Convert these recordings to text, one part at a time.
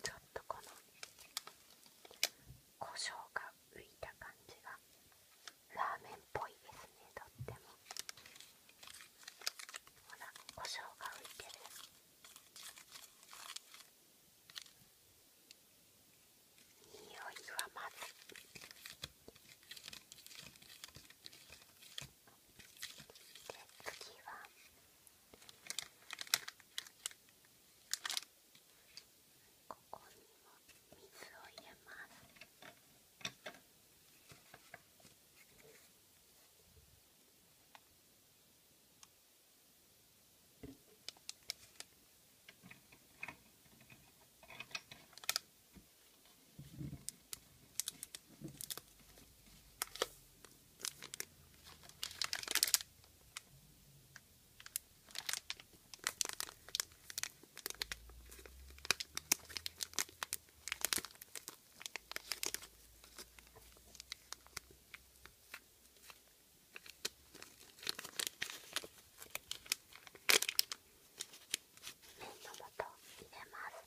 ちょっとこの胡椒が浮いた感じがラーメンっぽいですねとってもほら胡椒が浮いてる匂いはまずで次は。ここにも水を入れます麺の素入れます。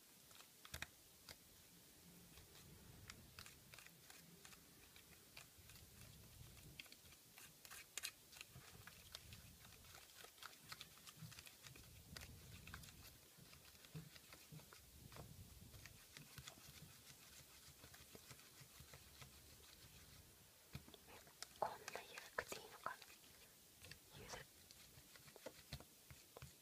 こんなゆるくていいのかなゆるそして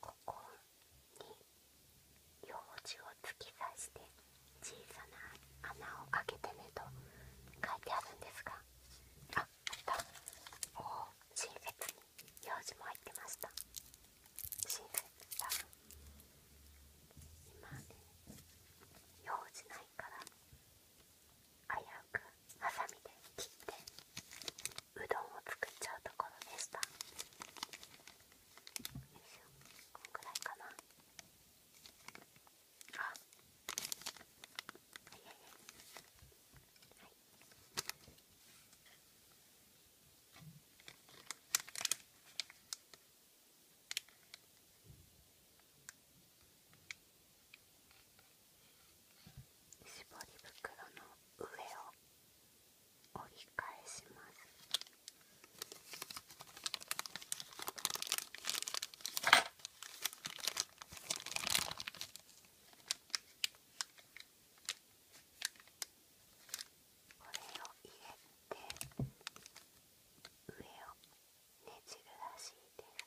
ここにようじを突き刺して小さな穴を開けてねと書いてあるんですがあ、あったおお、親切に用事も入ってました親切だ今ね、用事ないから危うくハサミで切ってうどんを作っちゃうところでしたよいしょ、こんくらいかなあはいはいはいはい絞り袋の上を折り返します。これを入れて上をねじるらしいです。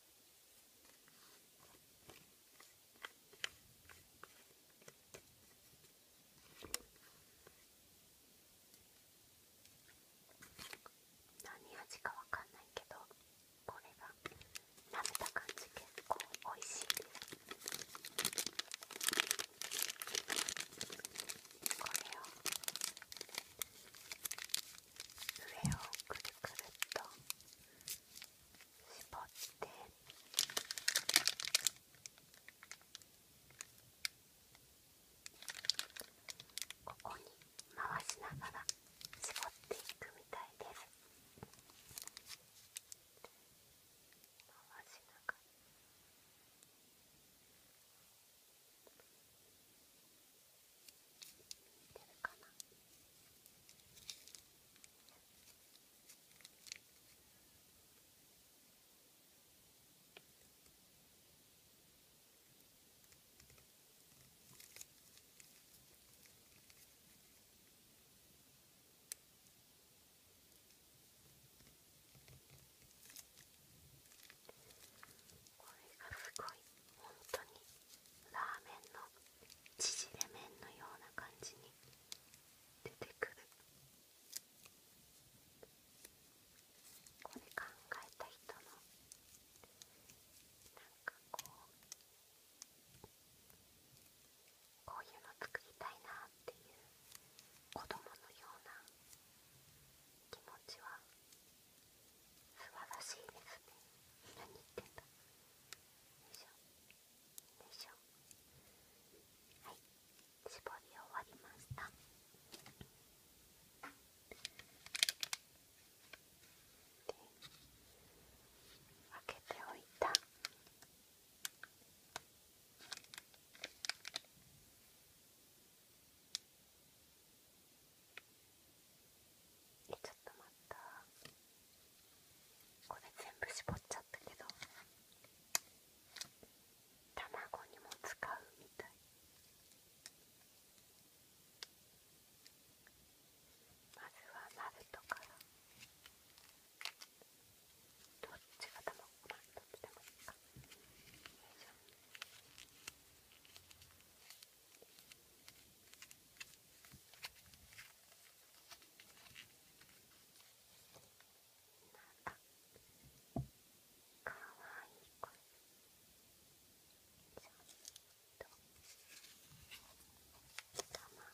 何味かわかんないけどこれが舐めた感じ結構おいしいですこれを上をくるくるっと絞ってここに回しながら絞っていくみたいですこれがすごい本当にラーメンの縮れ麺のような感じに出てくるこれ考えた人のなんかこうこういうの作りたいなっていう子供のような気持ちは素晴らしいですね何言ってんだでしょでしょはい絞り終わりましたで開けておいたえちょっと待ったこれ全部絞っちゃったけど卵にも使うみたいまずはナルトからどっちが卵かどっちでもいいかかわいい子ちゃんと卵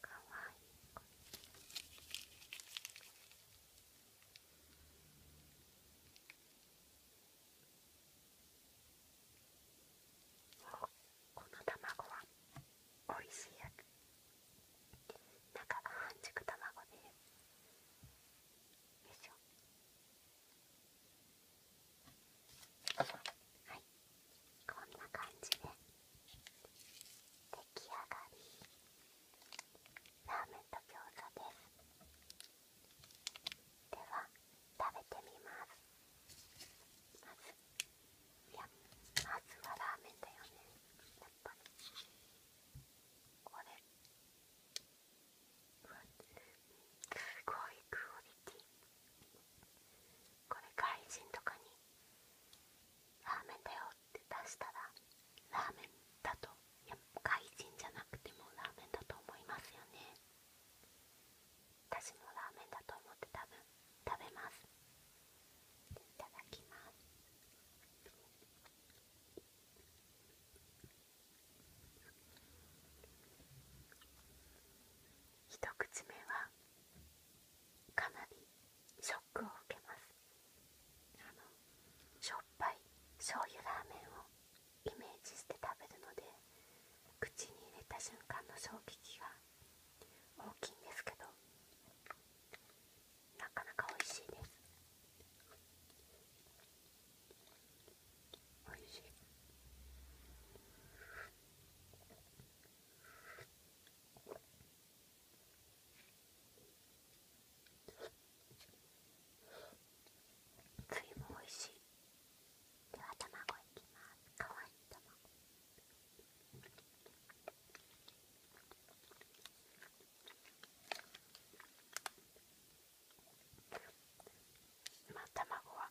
かわいい子この卵はおいしいやつ中が半熟卵でよいしょはいこんな感じで出来上がりラーメンと餃子ですでは食べてみますまずいやまずはラーメンだよねやっぱりこれすごいクオリティこれ外人とかにラーメンだよって出したらラーメンだといや外人じゃなくてもラーメンだと思いますよね私もラーメンだと思ってたぶん食べますいただきます一口目はかなりショックを受けますしょっぱい醤油ラーメンをイメージして食べるので口に入れた瞬間の衝撃が大きいんですけどなかなか美味しいですおいしい栗もおいしいでは卵いきますかわいい卵まあ卵は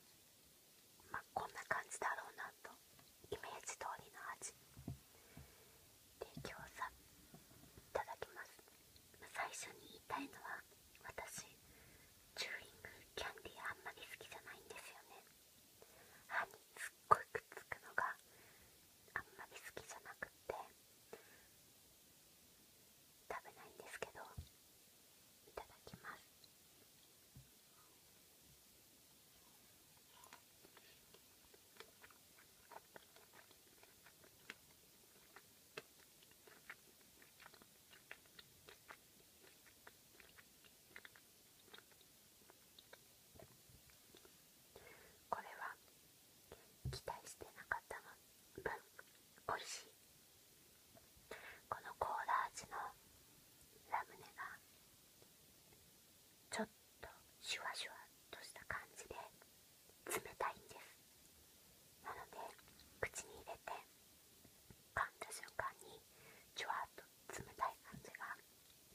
こんな感じだろうなとイメージ通りの味で餃子いただきます、最初に言いたいのは私チューリングキャンディーあんまり好きじゃないんですよね歯にすっごいくっつくのがあんまり好きじゃなくって食べないんですけどいただきますこれは期待してなかった分美味しいこのコーラ味のラムネがちょっとシュワシュワとした感じで冷たいんですなので口に入れて噛んだ瞬間にジュワっと冷たい感じが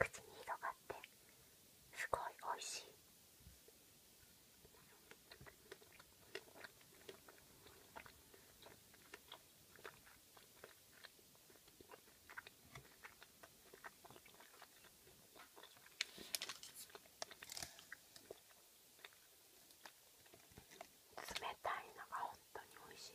口に広がってすごい美味しい冷たいのが本当に美味しい。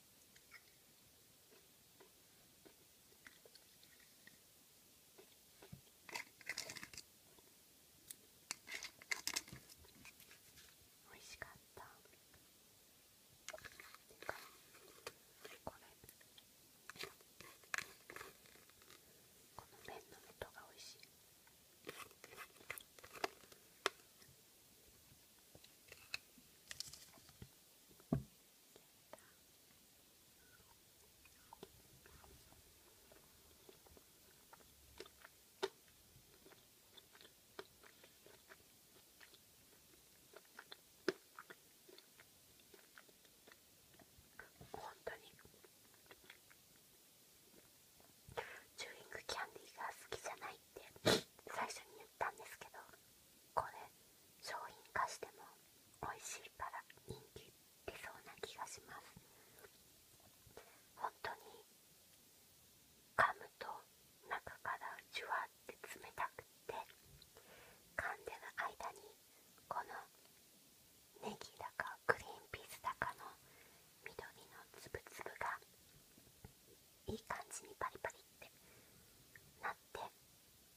美味しかったこれこの麺の音が美味しい。本当にジューイングキャンディーが好きじゃないって最初に言ったんですけどこれ商品化しても美味しいから人気出そうな気がします本当に噛むと中からジュワって冷たくって噛んでる間にこのネギだかグリーンピースだかの緑のつぶつぶがいい感じにパリパリってなって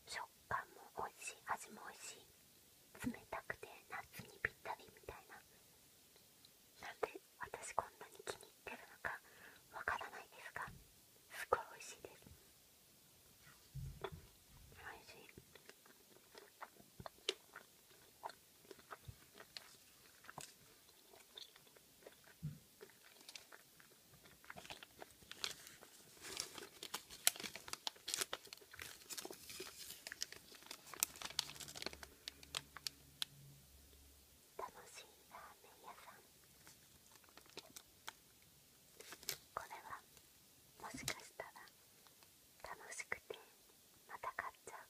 食感も美味しい味も美味しい冷たくて夏にぴったりみたいななんで私こんなに気に入ってるのかわからないですがすごい美味しいです美味しい楽しいラーメン屋さんこれはもしかしたら楽しくてまた買っちゃうかも。